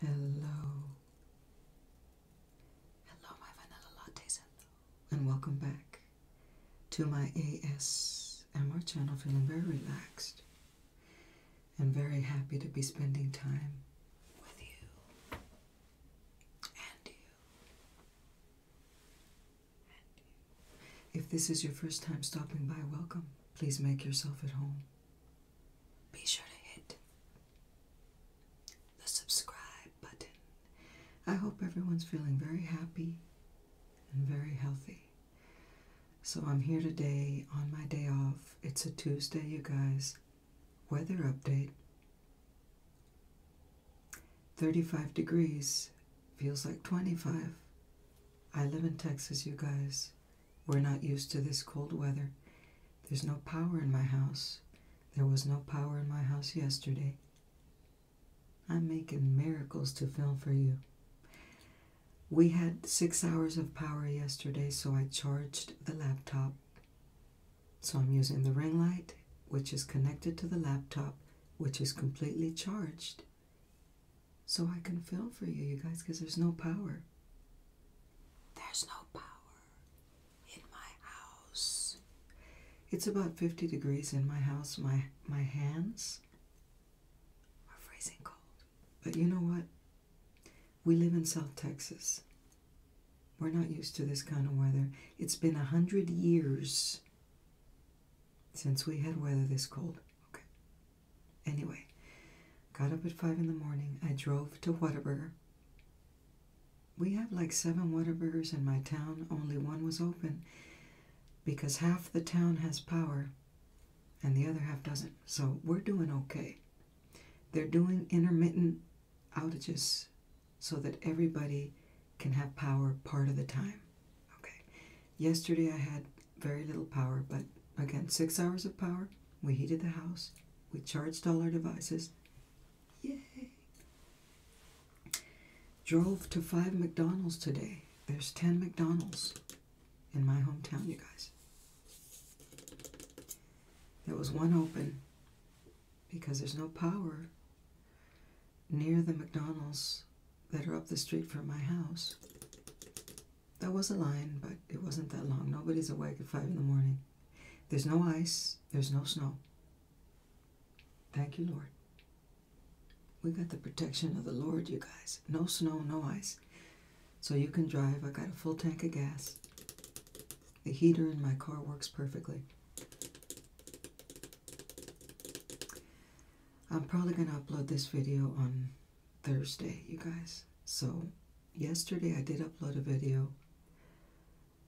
Hello. Hello. Hello, my vanilla lattes, hello. And welcome back to my ASMR channel. Feeling very relaxed and very happy to be spending time with you and you. If this is your first time stopping by, welcome. Please make yourself at home. Be sure to hit the subscribe button. I hope everyone's feeling very happy and very healthy. So I'm here today on my day off. It's a Tuesday, you guys. Weather update 35 degrees, feels like 25. I live in Texas, you guys. We're not used to this cold weather. There's no power in my house. There was no power in my house yesterday. I'm making miracles to film for you. We had six hours of power yesterday, so I charged the laptop. So I'm using the ring light, which is connected to the laptop, which is completely charged so I can film for you, you guys, because there's no power. There's no power in my house. It's about 50 degrees in my house. My, my hands are freezing cold. But you know what? We live in South Texas. We're not used to this kind of weather. It's been a hundred years since we had weather this cold. Okay. Anyway, got up at five in the morning. I drove to Waterberg. We have like seven Waterbergs in my town. Only one was open because half the town has power and the other half doesn't. So we're doing okay. They're doing intermittent outages so that everybody can have power part of the time. Okay. Yesterday I had very little power, but again, six hours of power. We heated the house. We charged all our devices. Yay! Drove to five McDonald's today. There's 10 McDonald's in my hometown, you guys. There was one open because there's no power near the McDonald's that are up the street from my house. there was a line, but it wasn't that long. Nobody's awake at 5 in the morning. There's no ice, there's no snow. Thank you, Lord. We got the protection of the Lord, you guys. No snow, no ice. So you can drive. I got a full tank of gas. The heater in my car works perfectly. I'm probably going to upload this video on Thursday, you guys. So, yesterday I did upload a video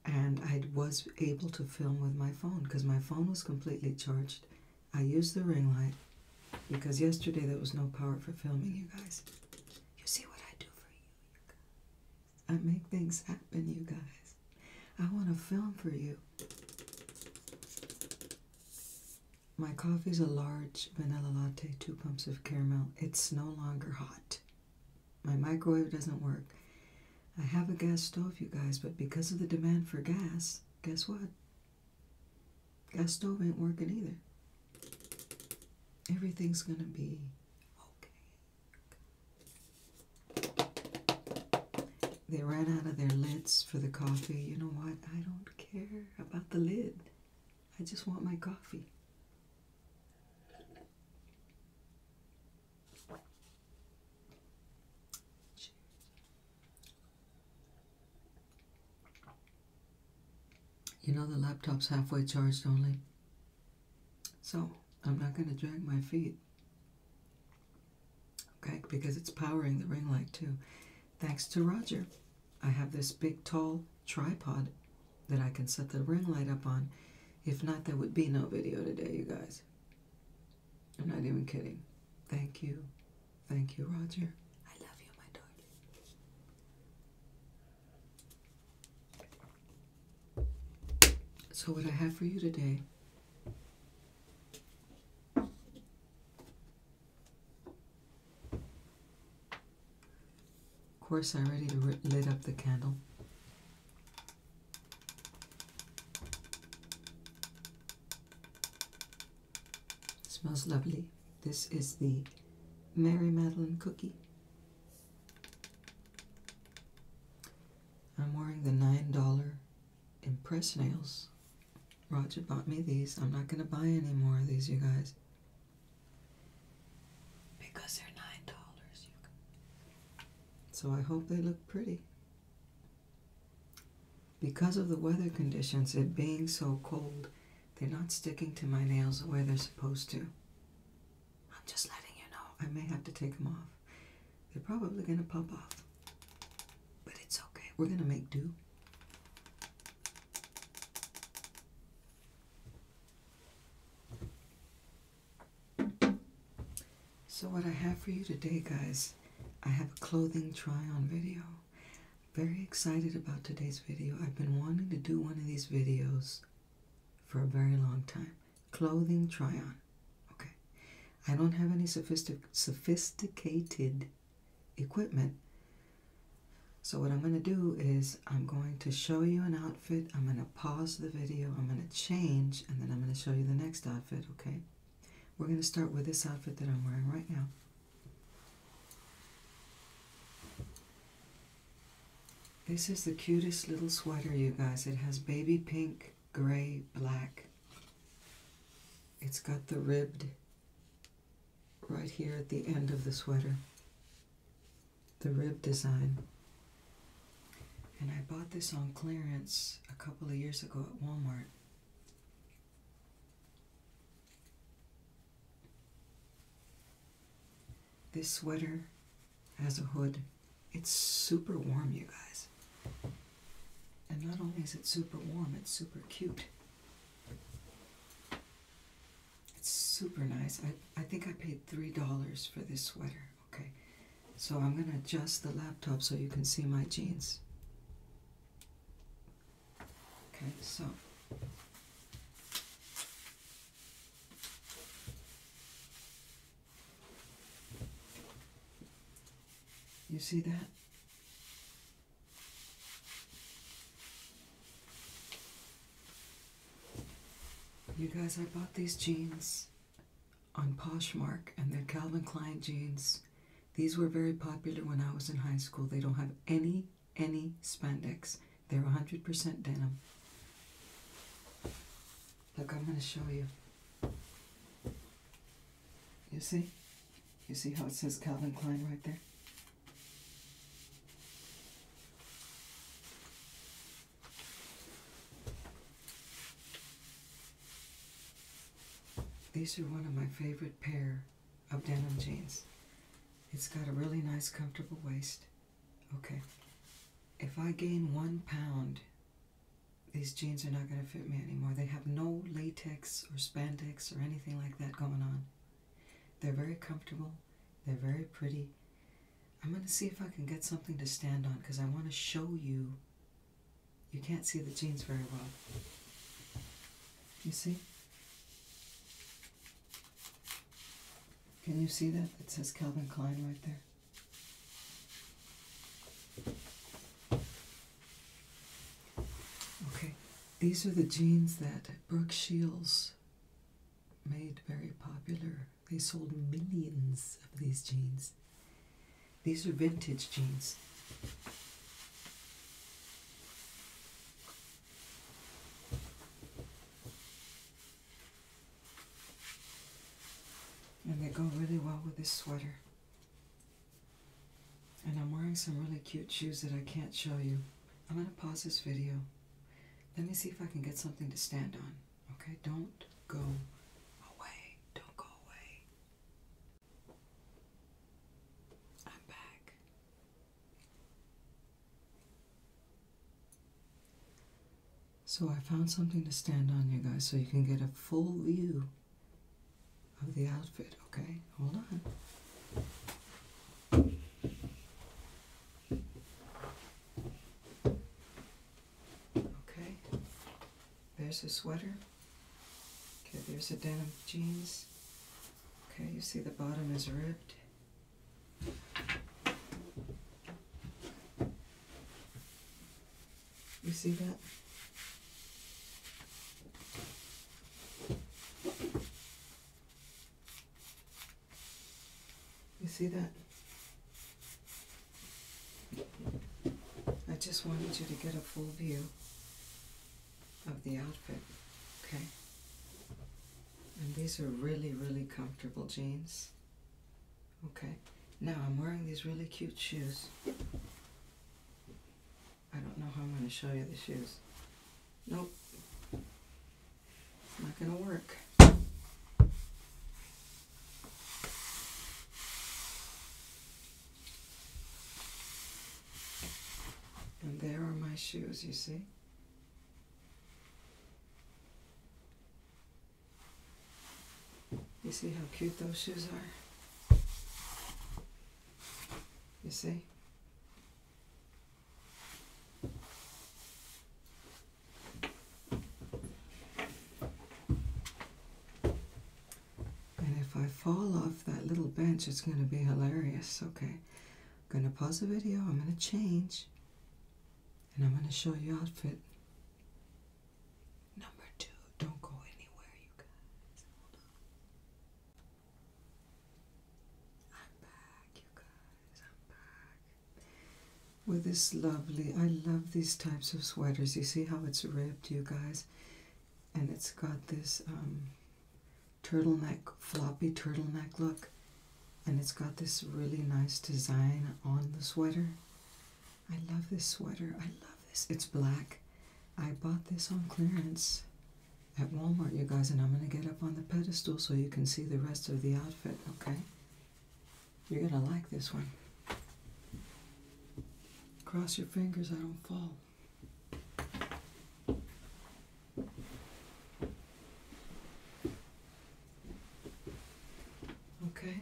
and I was able to film with my phone because my phone was completely charged. I used the ring light because yesterday there was no power for filming, you guys. You see what I do for you? I make things happen, you guys. I want to film for you. My coffee is a large vanilla latte, two pumps of caramel. It's no longer hot. My microwave doesn't work. I have a gas stove, you guys, but because of the demand for gas, guess what? Gas stove ain't working either. Everything's gonna be okay. They ran out of their lids for the coffee. You know what? I don't care about the lid. I just want my coffee. You know the laptop's halfway charged only. So, I'm not going to drag my feet okay, because it's powering the ring light too. Thanks to Roger, I have this big, tall tripod that I can set the ring light up on. If not, there would be no video today, you guys. I'm not even kidding. Thank you. Thank you, Roger. I love you, my darling. So what I have for you today of course, I am ready to light up the candle. smells lovely. This is the Mary Magdalene cookie. I'm wearing the $9 Impress nails. Roger bought me these. I'm not going to buy any more of these, you guys. Because they're nine dollars. So I hope they look pretty. Because of the weather conditions, it being so cold, they're not sticking to my nails the way they're supposed to. I'm just letting you know. I may have to take them off. They're probably going to pop off. But it's okay. We're going to make do. So what I have for you today, guys, I have a clothing try-on video. Very excited about today's video. I've been wanting to do one of these videos for a very long time. Clothing try-on. Okay. I don't have any sophisticated equipment. So what I'm going to do is I'm going to show you an outfit. I'm going to pause the video. I'm going to change and then I'm going to show you the next outfit, okay? We're going to start with this outfit that I'm wearing right now. This is the cutest little sweater, you guys. It has baby pink gray black. It's got the ribbed right here at the end of the sweater, the rib design. And I bought this on clearance a couple of years ago at Walmart. This sweater has a hood. It's super warm, you guys. And not only is it super warm, it's super cute. It's super nice. I, I think I paid $3 for this sweater. Okay. So I'm going to adjust the laptop so you can see my jeans. Okay, so. You see that? You guys, I bought these jeans on Poshmark, and they're Calvin Klein jeans. These were very popular when I was in high school. They don't have any, any spandex. They're 100% denim. Look, I'm going to show you. You see? You see how it says Calvin Klein right there? These are one of my favorite pair of denim jeans. It's got a really nice comfortable waist. Okay. If I gain one pound these jeans are not going to fit me anymore. They have no latex or spandex or anything like that going on. They're very comfortable. They're very pretty. I'm going to see if I can get something to stand on because I want to show you. You can't see the jeans very well. You see? Can you see that? It says Calvin Klein right there. Okay, these are the jeans that Brooke Shields made very popular. They sold millions of these jeans. These are vintage jeans and they go really well with this sweater. And I'm wearing some really cute shoes that I can't show you. I'm going to pause this video. Let me see if I can get something to stand on. Okay, don't go away. Don't go away. I'm back. So I found something to stand on, you guys, so you can get a full view of the outfit. Okay, hold on. Okay, there's a sweater. Okay, there's a denim jeans. Okay, you see the bottom is ripped. You see that? You see that? I just wanted you to get a full view of the outfit, okay? And these are really, really comfortable jeans. Okay, now I'm wearing these really cute shoes. I don't know how I'm going to show you the shoes. Nope. It's not going to work. And there are my shoes, you see? You see how cute those shoes are? You see? And if I fall off that little bench, it's going to be hilarious. Okay, I'm going to pause the video. I'm going to change. And I'm going to show you outfit Number two, don't go anywhere, you guys. I'm back, you guys. I'm back. With this lovely, I love these types of sweaters. You see how it's ribbed, you guys? And it's got this um, turtleneck, floppy turtleneck look. And it's got this really nice design on the sweater. I love this sweater. I love this. It's black. I bought this on clearance at Walmart, you guys, and I'm going to get up on the pedestal so you can see the rest of the outfit, okay? You're going to like this one. Cross your fingers I don't fall. Okay.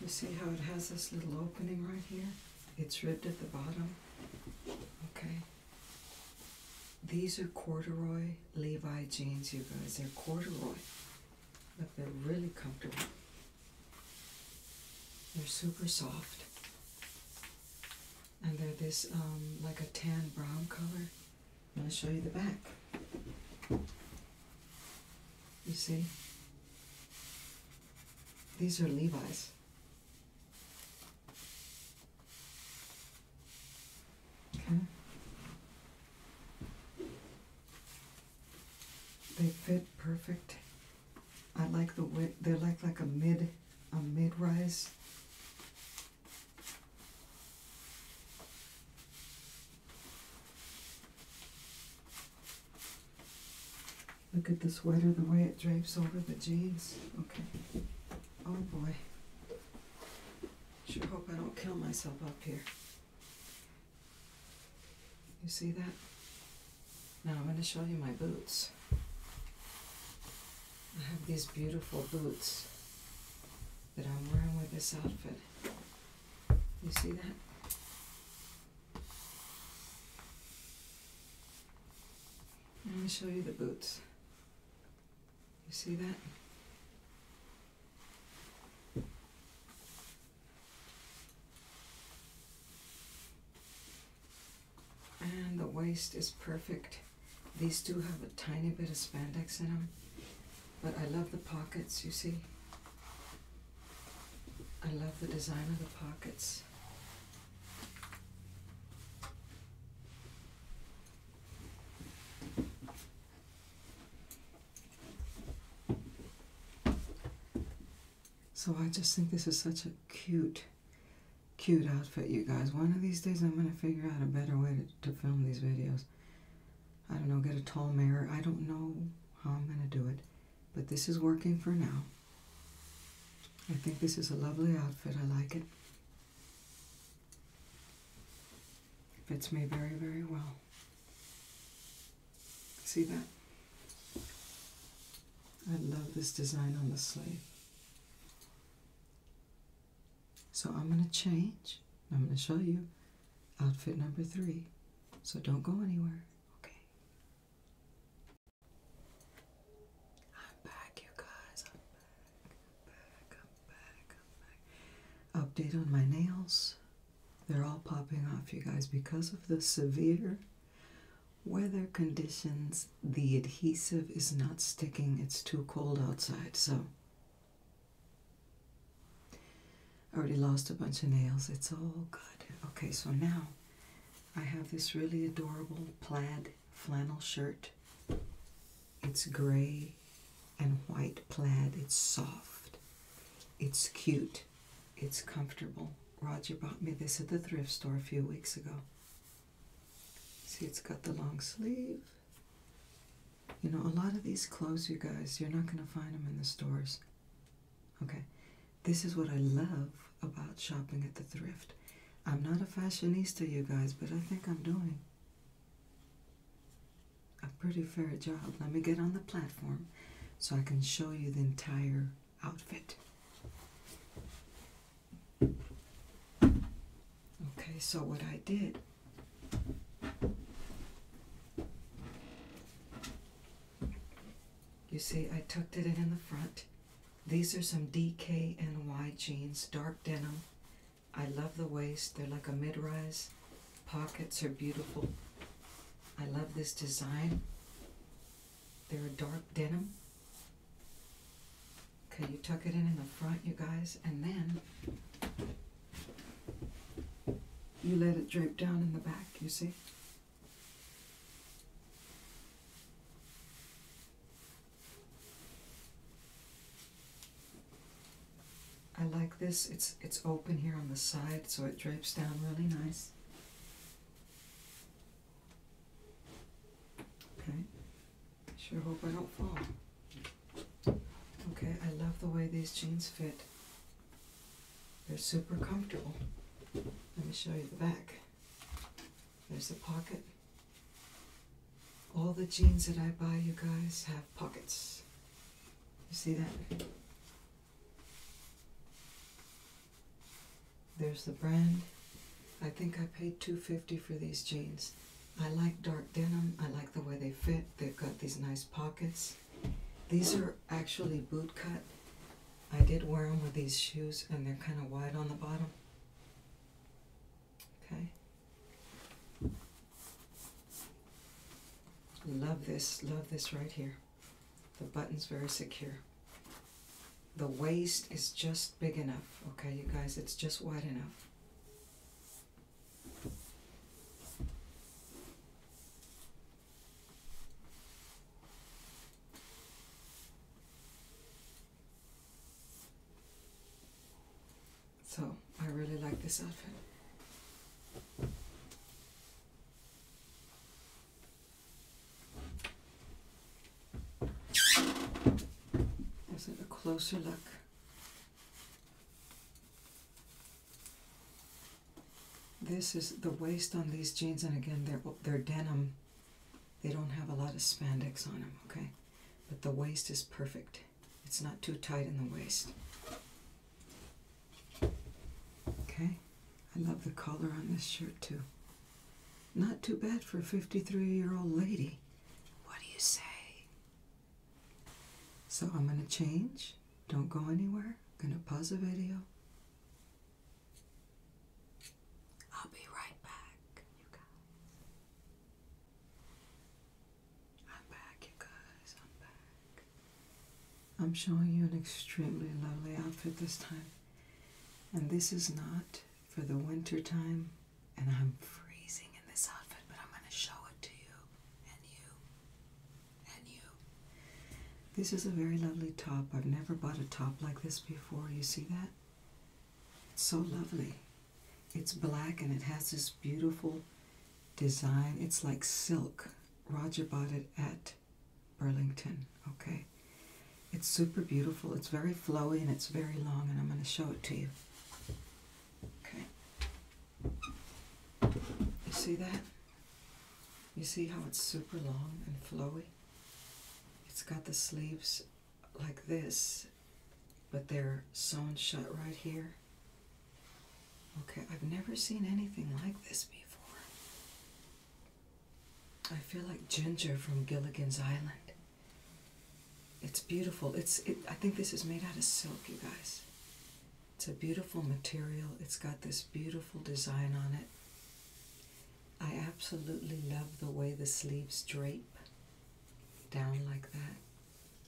You see how it has this little opening right here? It's ribbed at the bottom. Okay. These are corduroy Levi jeans, you guys. They're corduroy. Look, they're really comfortable. They're super soft. And they're this, um, like a tan brown color. I'm going to show you the back. You see? These are Levi's. Okay. They fit perfect. I like the width. They're like like a mid a mid rise Look at the sweater, the way it drapes over the jeans. Okay. Oh boy. Should hope I don't kill myself up here. You see that? Now I'm going to show you my boots. I have these beautiful boots that I'm wearing with this outfit. You see that? Let me show you the boots. You see that? And the waist is perfect. These two have a tiny bit of spandex in them. But I love the pockets, you see. I love the design of the pockets. So I just think this is such a cute, cute outfit, you guys. One of these days I'm going to figure out a better way to, film these videos. I don't know, get a tall mirror. I don't know how I'm going to do it, but this is working for now. I think this is a lovely outfit. I like it. Fits me very, very well. See that? I love this design on the sleeve. So I'm going to change. I'm going to show you outfit number three. So don't go anywhere, okay? I'm back, you guys. I'm back. I'm back. I'm back. I'm back. Update on my nails. They're all popping off, you guys, because of the severe weather conditions. The adhesive is not sticking. It's too cold outside. So I already lost a bunch of nails. It's all good. Okay, so now I have this really adorable plaid flannel shirt. It's gray and white plaid. It's soft. It's cute. It's comfortable. Roger bought me this at the thrift store a few weeks ago. See, it's got the long sleeve. You know, a lot of these clothes, you guys, you're not going to find them in the stores. Okay? This is what I love about shopping at the thrift. I'm not a fashionista, you guys, but I think I'm doing a pretty fair job. Let me get on the platform so I can show you the entire outfit. Okay, so what I did you see, I tucked it in in the front. These are some DKNY jeans, dark denim. I love the waist. They're like a mid-rise. Pockets are beautiful. I love this design. They're a dark denim. Okay, you tuck it in in the front, you guys, and then you let it drape down in the back, you see? I like this. It's, it's open here on the side, so it drapes down really nice. Okay. Sure hope I don't fall. Okay, I love the way these jeans fit. They're super comfortable. Let me show you the back. There's a pocket. All the jeans that I buy, you guys, have pockets. You see that? There's the brand. I think I paid 250 for these jeans. I like dark denim. I like the way they fit. They've got these nice pockets. These are actually boot cut. I did wear them with these shoes and they're kind of wide on the bottom. Okay. Love this. Love this right here. The button's very secure. The waist is just big enough. Okay, you guys, it's just wide enough. So I really like this outfit. Is it a closer look? This is the waist on these jeans, and again, they're, they're denim. They don't have a lot of spandex on them, okay? But the waist is perfect. It's not too tight in the waist. Okay? I love the collar on this shirt, too. Not too bad for a 53-year-old lady. What do you say? So I'm going to change. Don't go anywhere. I'm going to pause the video. I'll be right back, you guys. I'm back, you guys. I'm back. I'm showing you an extremely lovely outfit this time. And this is not for the winter time and I'm freezing in this outfit, but I'm going to show it to you and you and you. This is a very lovely top. I've never bought a top like this before. You see that? It's so lovely. It's black and it has this beautiful design. It's like silk. Roger bought it at Burlington, okay? It's super beautiful. It's very flowy and it's very long, and I'm going to show it to you. Okay. You see that? You see how it's super long and flowy? It's got the sleeves like this, but they're sewn shut right here. Okay, I've never seen anything like this before. I feel like Ginger from Gilligan's Island. It's beautiful. It's I think this is made out of silk, you guys. It's a beautiful material. It's got this beautiful design on it. I absolutely love the way the sleeves drape down like that.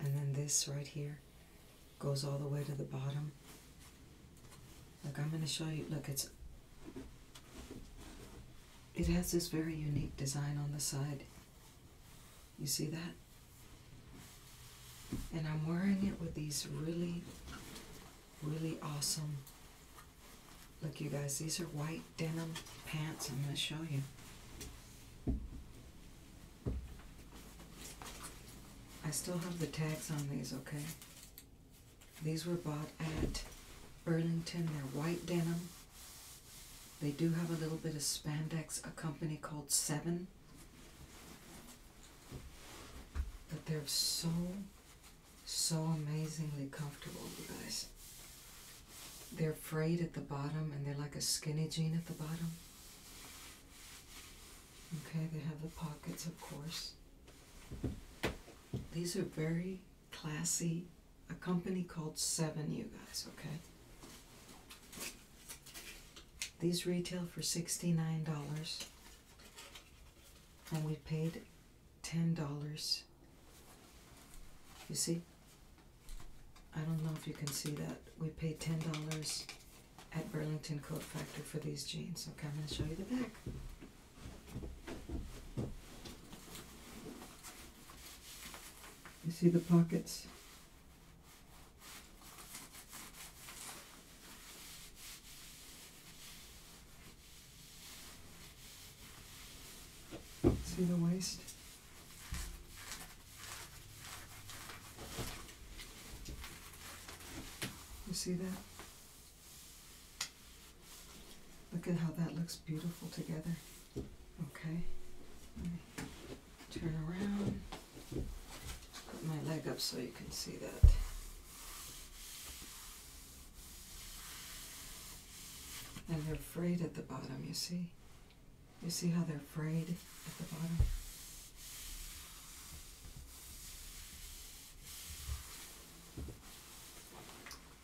And then this right here goes all the way to the bottom. Look, I'm going to show you. Look, it's it has this very unique design on the side. You see that? And I'm wearing it with these really, really awesome. Look, you guys, these are white denim pants. I'm going to show you. I still have the tags on these, okay? These were bought at Burlington. They're white denim. They do have a little bit of spandex, a company called Seven. But they're so, so amazingly comfortable, guys. They're frayed at the bottom and they're like a skinny jean at the bottom. Okay, they have the pockets, of course. These are very classy a company called Seven, you guys, okay? These retail for $69, and we paid $10. You see? I don't know if you can see that. We paid $10 at Burlington Coat Factor for these jeans. Okay, I'm going to show you the back. You see the pockets? See the waist? You see that? Look at how that looks beautiful together. Okay. Turn around. Put my leg up so you can see that. And they're frayed at the bottom, you see? You see how they're frayed at the bottom?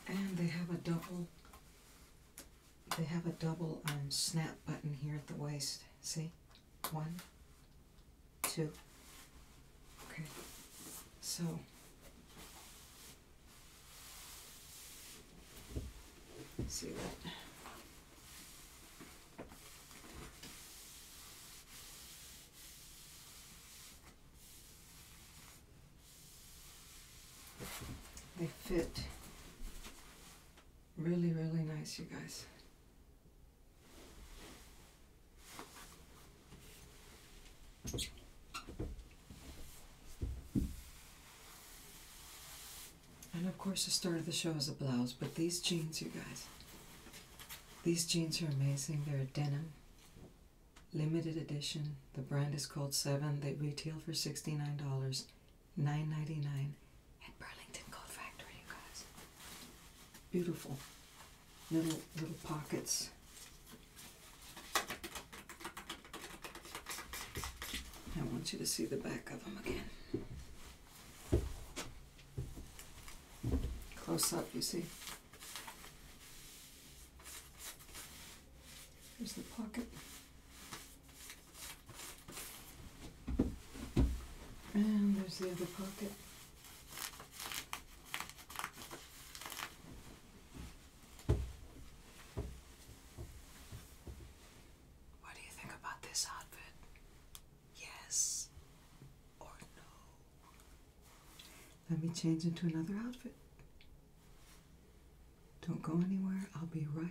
And they have a double they have a double um, snap button here at the waist. See? One, two. Okay. So, see that. They fit really, really nice, you guys. And of course, the start of the show is a blouse, but these jeans, you guys, these jeans are amazing. They're denim, limited edition. The brand is called Seven. They retail for $69 nine ninety nine at Burlington Coat Factory, you guys. Beautiful little little pockets. I want you to see the back of them again. Close up, you see. Here's the pocket. And there's the other pocket. What do you think about this outfit? Yes or no? Let me change into another outfit. Don't go anywhere. I'll be right,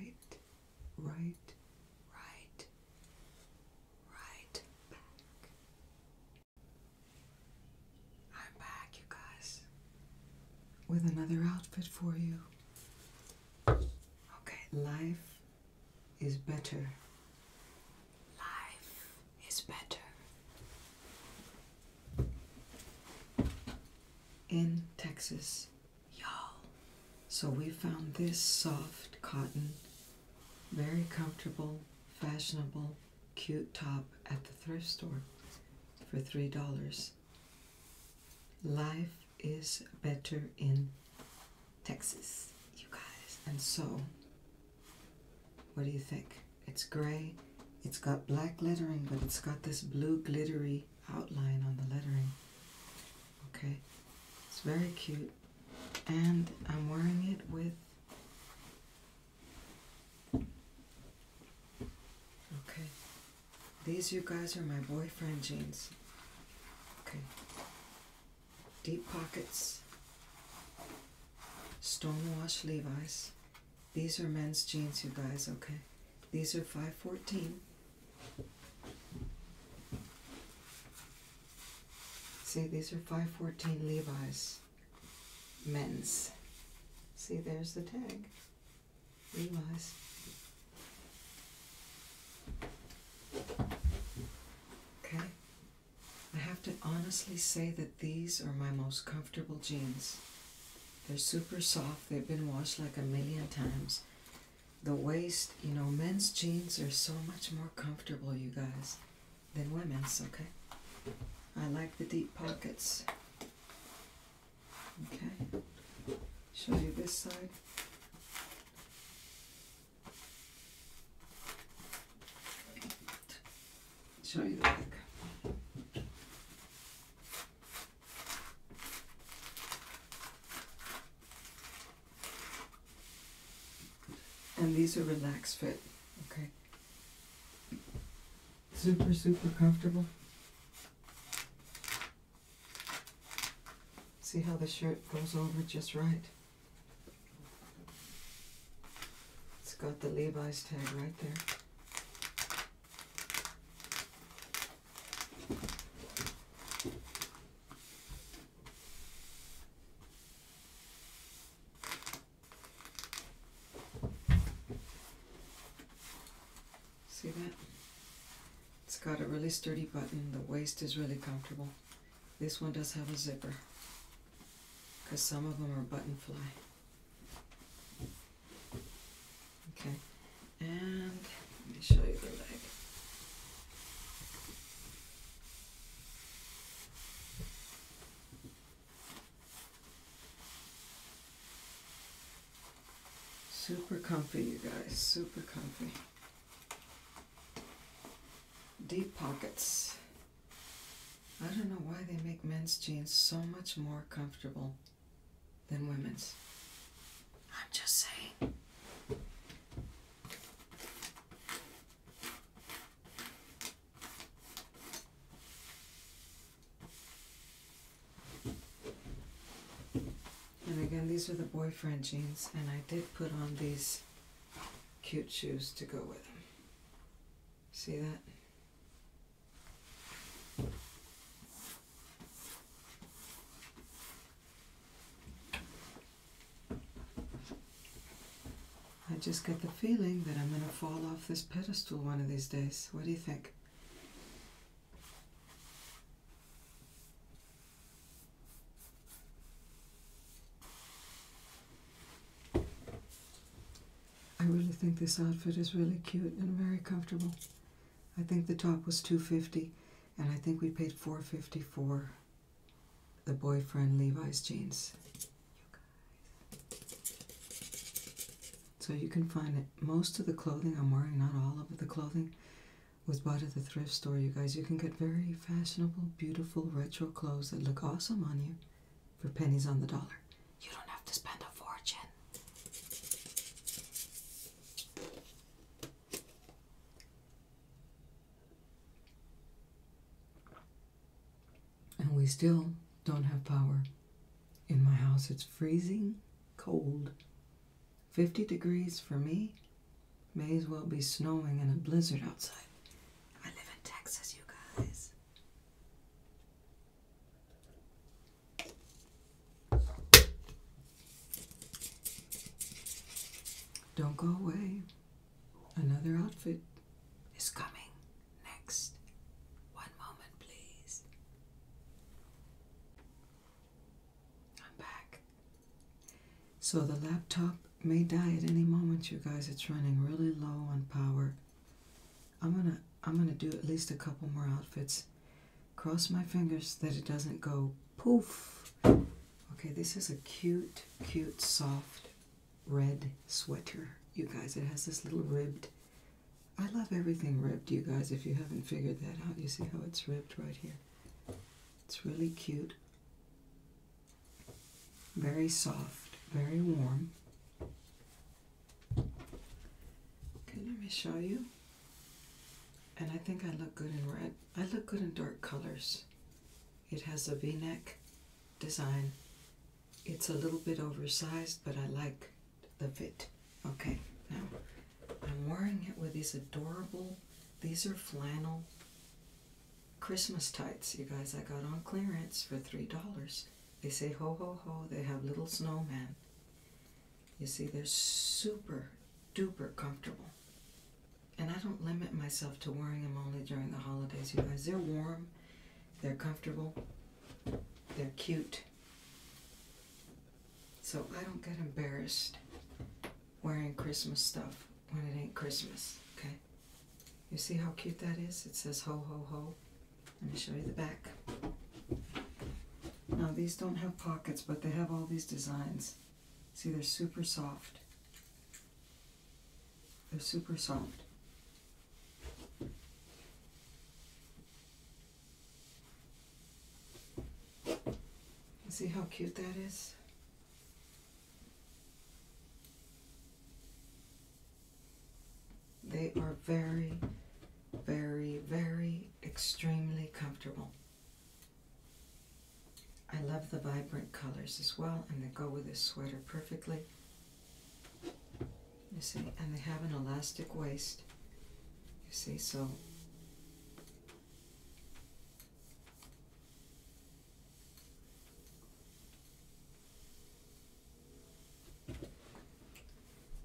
right, right, right back. I'm back, you guys, with another outfit for you. Okay, life is better. Life is better in Texas, y'all. So we found this soft cotton, very comfortable, fashionable, cute top at the thrift store for $3. Life is better in Texas, you guys. And so, what do you think? It's gray. It's got black lettering, but it's got this blue glittery outline on the lettering. Okay, it's very cute. And I'm wearing it with. Okay, these you guys are my boyfriend jeans. Okay, deep pockets, wash Levi's. These are men's jeans, you guys, okay? These are 514. See, these are 514 Levi's men's. See, there's the tag. Levi's. Okay. I have to honestly say that these are my most comfortable jeans. They're super soft. They've been washed like a million times. The waist, you know, men's jeans are so much more comfortable, you guys, than women's, okay? I like the deep pockets. Okay. Show you this side. Show you the and these are relaxed fit, okay? Super, super comfortable. See how the shirt goes over just right? It's got the Levi's tag right there. See that? It's got a really sturdy button. The waist is really comfortable. This one does have a zipper because some of them are button fly. Okay, and let me show you the leg. Super comfy, you guys, super comfy. Deep pockets. I don't know why they make men's jeans so much more comfortable than women's. I'm just saying. And again, these are the boyfriend jeans, and I did put on these cute shoes to go with them. See that? I just get the feeling that I'm going to fall off this pedestal one of these days. What do you think? I really think this outfit is really cute and very comfortable. I think the top was 250 and I think we paid 450 for the boyfriend Levi's jeans. so you can find it. Most of the clothing I'm wearing, not all of the clothing, was bought at the thrift store, you guys. You can get very fashionable, beautiful, retro clothes that look awesome on you for pennies on the dollar. You don't have to spend a fortune. And we still don't have power. In my house, it's freezing cold. 50 degrees for me may as well be snowing in a blizzard outside. I live in Texas, you guys. Don't go away. Another outfit is coming next. One moment, please. I'm back. So the laptop may die at any moment, you guys. It's running really low on power. I'm going to I'm going to do at least a couple more outfits. Cross my fingers that it doesn't go poof. Okay, this is a cute, cute, soft red sweater, you guys. It has this little ribbed. I love everything ribbed, you guys. If you haven't figured that out, you see how it's ribbed right here. It's really cute. Very soft, very warm. Okay, let me show you. And I think I look good in red. I look good in dark colors. It has a v-neck design. It's a little bit oversized, but I like the fit. Okay, now I'm wearing it with these adorable, these are flannel Christmas tights, you guys. I got on clearance for $3. They say ho ho ho, they have little snowmen. You see, they're super duper comfortable. And I don't limit myself to wearing them only during the holidays, you guys. They're warm, they're comfortable, they're cute. So I don't get embarrassed wearing Christmas stuff when it ain't Christmas, okay? You see how cute that is? It says ho ho ho. Let me show you the back. Now these don't have pockets, but they have all these designs. See, they're super soft. They're super soft. See how cute that is? They are very, very, very extremely comfortable. I love the vibrant colors as well, and they go with this sweater perfectly. You see, and they have an elastic waist. You see, so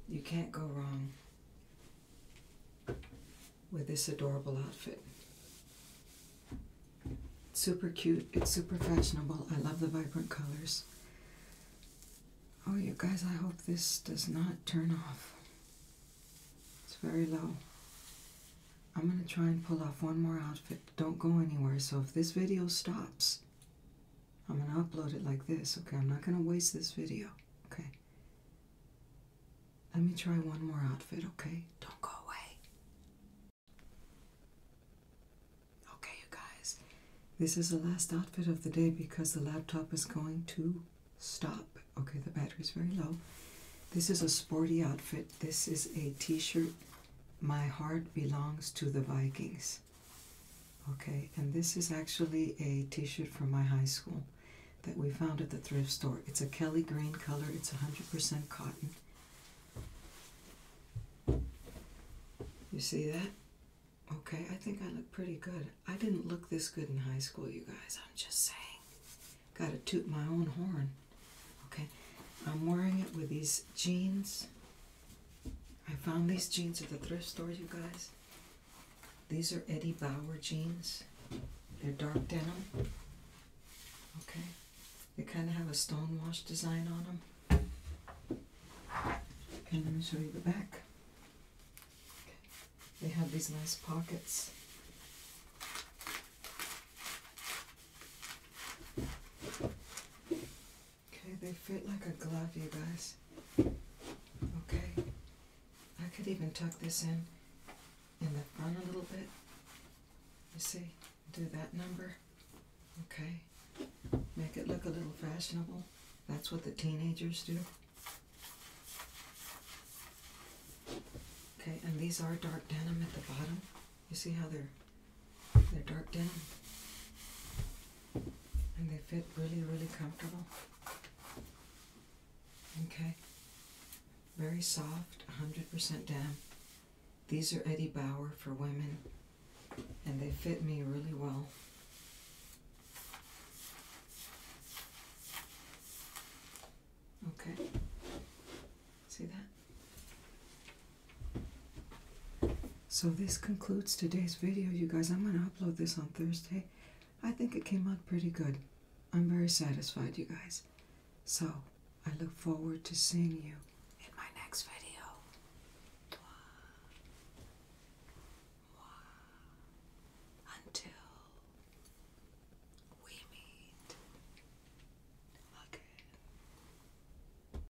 you can't go wrong with this adorable outfit. super cute, it's super fashionable. I love the vibrant colors. Oh, you guys, I hope this does not turn off. It's very low. I'm going to try and pull off one more outfit. Don't go anywhere. So if this video stops, I'm gonna upload it like this, okay? I'm not gonna waste this video, okay? Let me try one more outfit, okay? Don't go away. Okay, you guys, this is the last outfit of the day because the laptop is going to stop. Okay, the battery's very low. This is a sporty outfit. This is a t shirt. My heart belongs to the Vikings. Okay, and this is actually a t-shirt from my high school that we found at the thrift store. It's a Kelly green color. It's 100% cotton. You see that? Okay, I think I look pretty good. I didn't look this good in high school, you guys. I'm just saying. Got to toot my own horn. Okay, I'm wearing it with these jeans I found these jeans at the thrift store, you guys. These are Eddie Bauer jeans. They're dark denim. Okay. They kind of have a stone wash design on them. And let me show you the back. They have these nice pockets. Okay, they fit like a glove, you guys. Okay. I could even tuck this in in the front a little bit. You see? Do that number. Okay. Make it look a little fashionable. That's what the teenagers do. Okay, and these are dark denim at the bottom. You see how they're they're dark denim. And they fit really, really comfortable. Okay. Very soft, 100% denim. These are Eddie Bauer for women, and they fit me really well. Okay. See that? So this concludes today's video, you guys. I'm going to upload this on Thursday. I think it came out pretty good. I'm very satisfied, you guys. So I look forward to seeing you in my next video. Until we meet again.